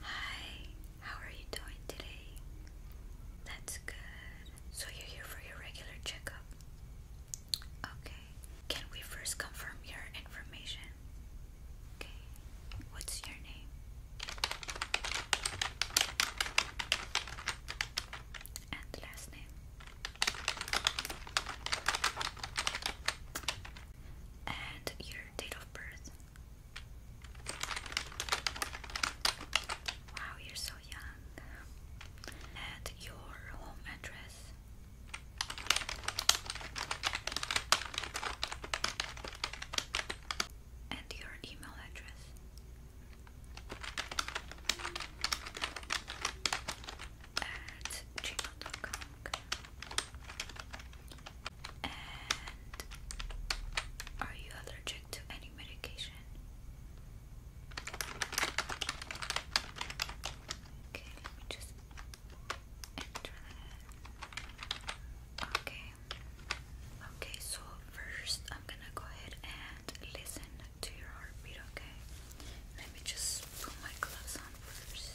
Hi, how are you doing today? That's good. So you're here for your regular checkup? Okay. Can we first confirm your information? Okay. What's your name? And last name? And your date of birth? Wow, you're so young. And your home address. And your email address. At gmail.com. And are you allergic to any medication? Okay, let me just enter that. Okay. Okay, so first I'm gonna go ahead and listen to your heartbeat, okay? Let me just put my gloves on first.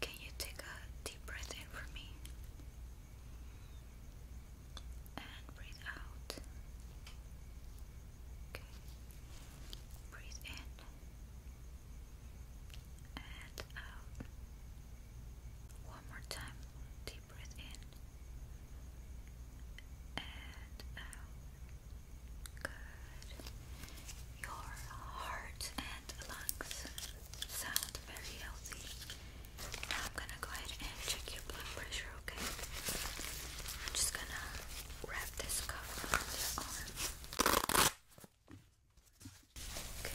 Can you take a deep breath in for me? And breathe out. Okay. Breathe in. And out. One more time. Deep breath in. And out. Good. Your heart lungs sound very healthy. Now I'm gonna go ahead and check your blood pressure, okay? I'm just gonna wrap this cuff around your arm. Okay,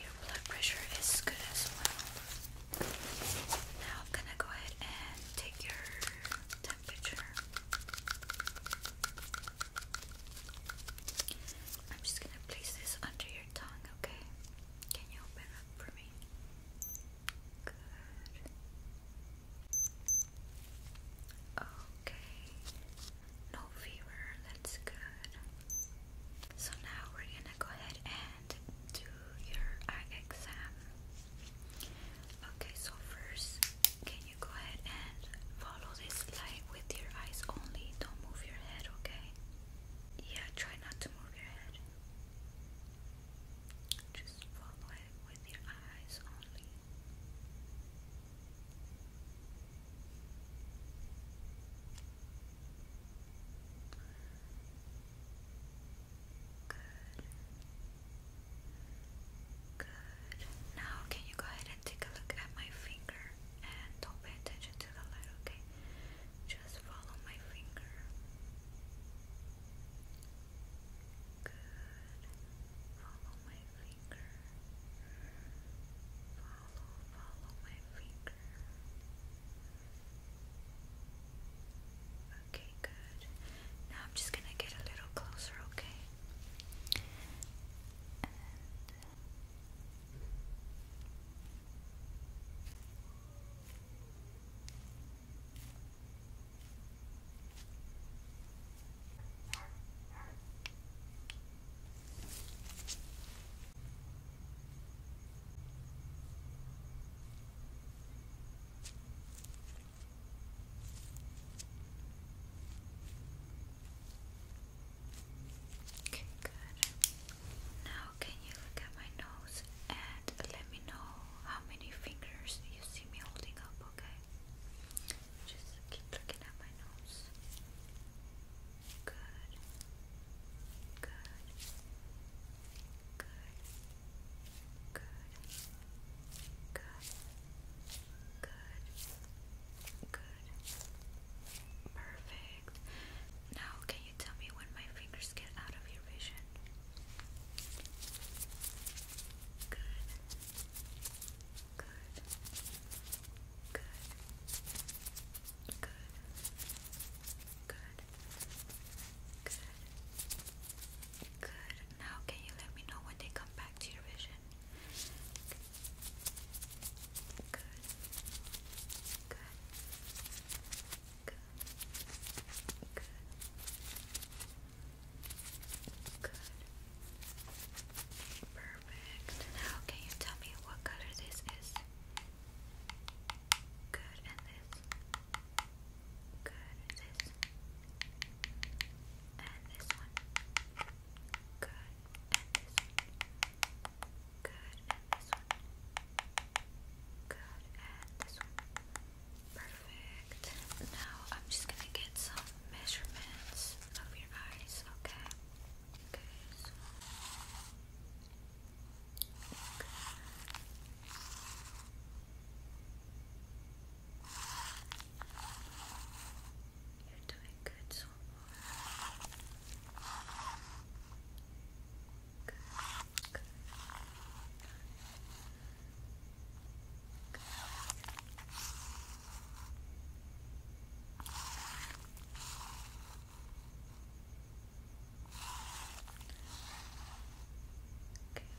Your blood pressure is good as well. Now I'm gonna go ahead and take your temperature. I'm just gonna place this under your tongue, okay? Can you open up for me? Good. Okay no fever, that's good. So now we're gonna go ahead and do your eye exam. Okay, so first, can you go ahead and follow this light with your eyes only? Don't move your head, okay? Yeah, try not to move your head. Just follow with your eyes only. Good. Now, can you go ahead and take a look at my finger and don't pay attention to the light, okay? Just follow my finger. Good. Follow my Follow, follow my finger. Okay, good. Now I'm just gonna get a little closer, Okay, Okay, good. Now, can you look at my nose and let me know how many fingers you see me holding up, okay? Just keep looking at my nose. Good. Good. Good. Good. Good. Good. Good. Perfect. Now, can you tell me when my fingers get out of your vision? Good. Good. Good. Good. Good. Good. Good. Now can you let me know when they come back to your vision? Good. Good. Good. Good. Good. Perfect. Now, can you tell me what color this is? Good, and this. Good, this. And this one. Good, and this Good, and this one. Good, and this one. Perfect. Now I'm just gonna get some measurements of your eyes, okay? okay. You're doing good so far. Good, good. Okay,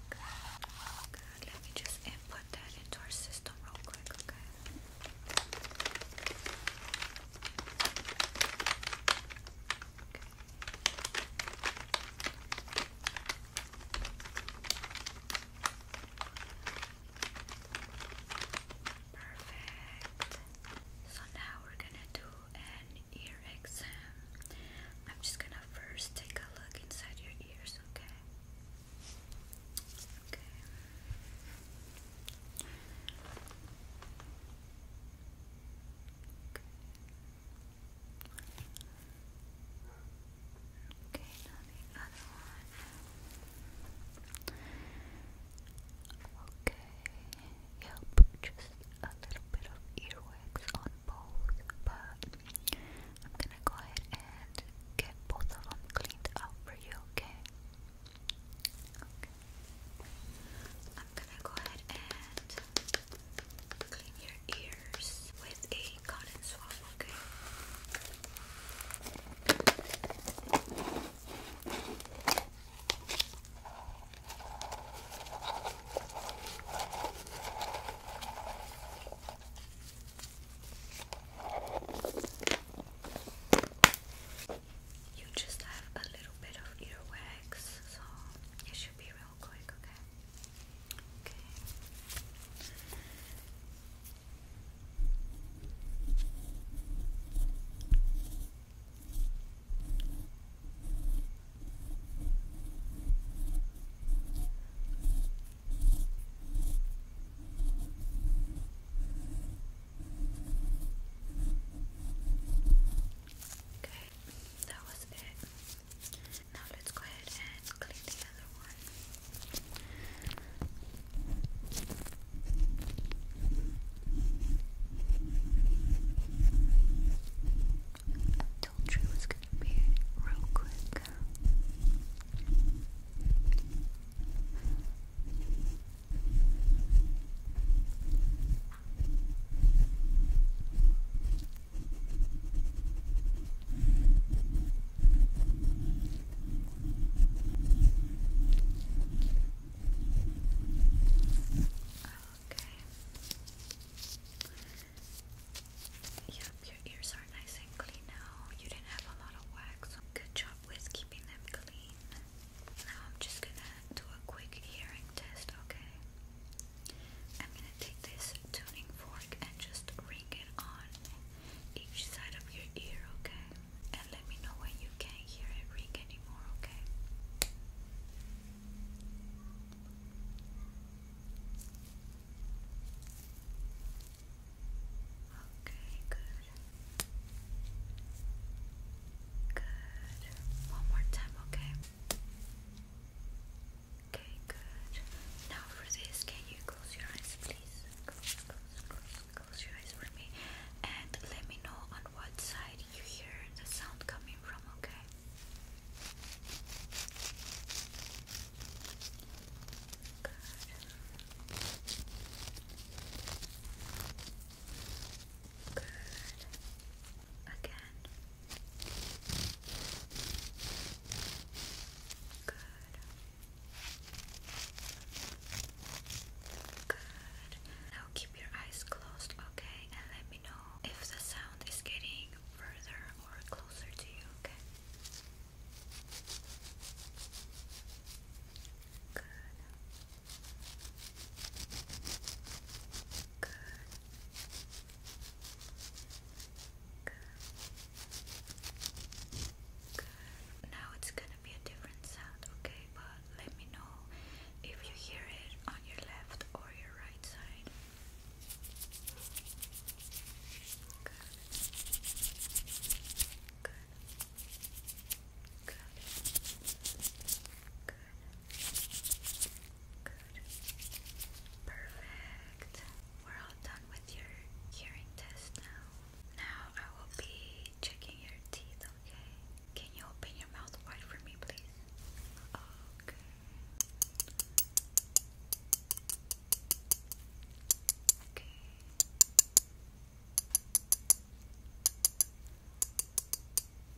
good. Let me just input that into our system real quick, Perfect. So now we're gonna do an ear exam. I'm just gonna first take a look inside your ears, okay? Okay. Okay, the other one. Okay, yep, just a little bit of earwax on both, but I'm gonna go ahead and get both of them cleaned up for you, okay? Okay. I'm gonna go ahead and clean your ears with a cotton swab, okay? You just have a little bit of earwax, so it should be real quick, okay? Okay, that was it. Now let's go ahead and clean the other one. I told you it was going to be real quick. Yep, your ears are nice and clean now. You didn't have a lot of wax. Good job with keeping them clean. Now I'm just gonna do a quick hearing test, okay? I'm going to take this tuning fork and just ring it on each side of your ear, okay? And let me know when you can't hear it ring anymore, okay? Okay, good. Good. One more time, okay? Okay, good. Now for this, can you close your eyes, please? Close, close, close, close your eyes for me, and let me know on what side you hear the sound coming from. Okay. Good. Good. Again. Good. Good. Now keep your eyes closed, okay? And let me know if the sound is getting further or closer to you, okay? Good. Good. Good. Good. Now it's gonna be a different sound, okay? But let me know if you hear it on your left or your right side. Good. Good. Good. Good. Good. Perfect. We're all done with your hearing test now. Now I will be checking your teeth, okay? Can you open your mouth wide for me, please? Okay. Okay.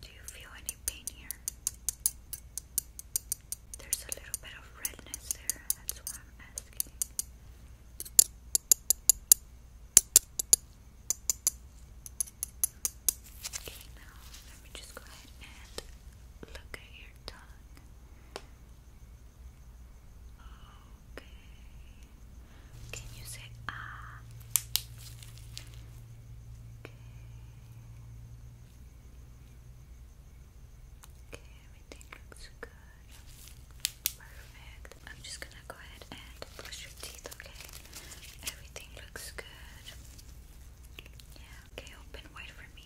Do you feel any pain here? There's a little bit of redness there, that's why I'm asking. Okay, now let me just go ahead and look at your tongue. Okay. Can you say ah? Okay. Okay, everything looks good. Perfect. I'm just gonna go ahead and brush your teeth, okay? Everything looks good. Yeah, okay, open wide for me.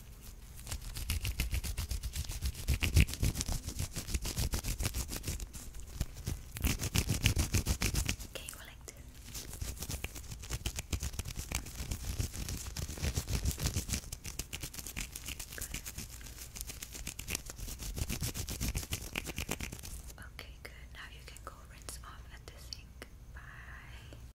Okay, we're like this. Good. Okay, good. Now you can go rinse off at the sink. Bye.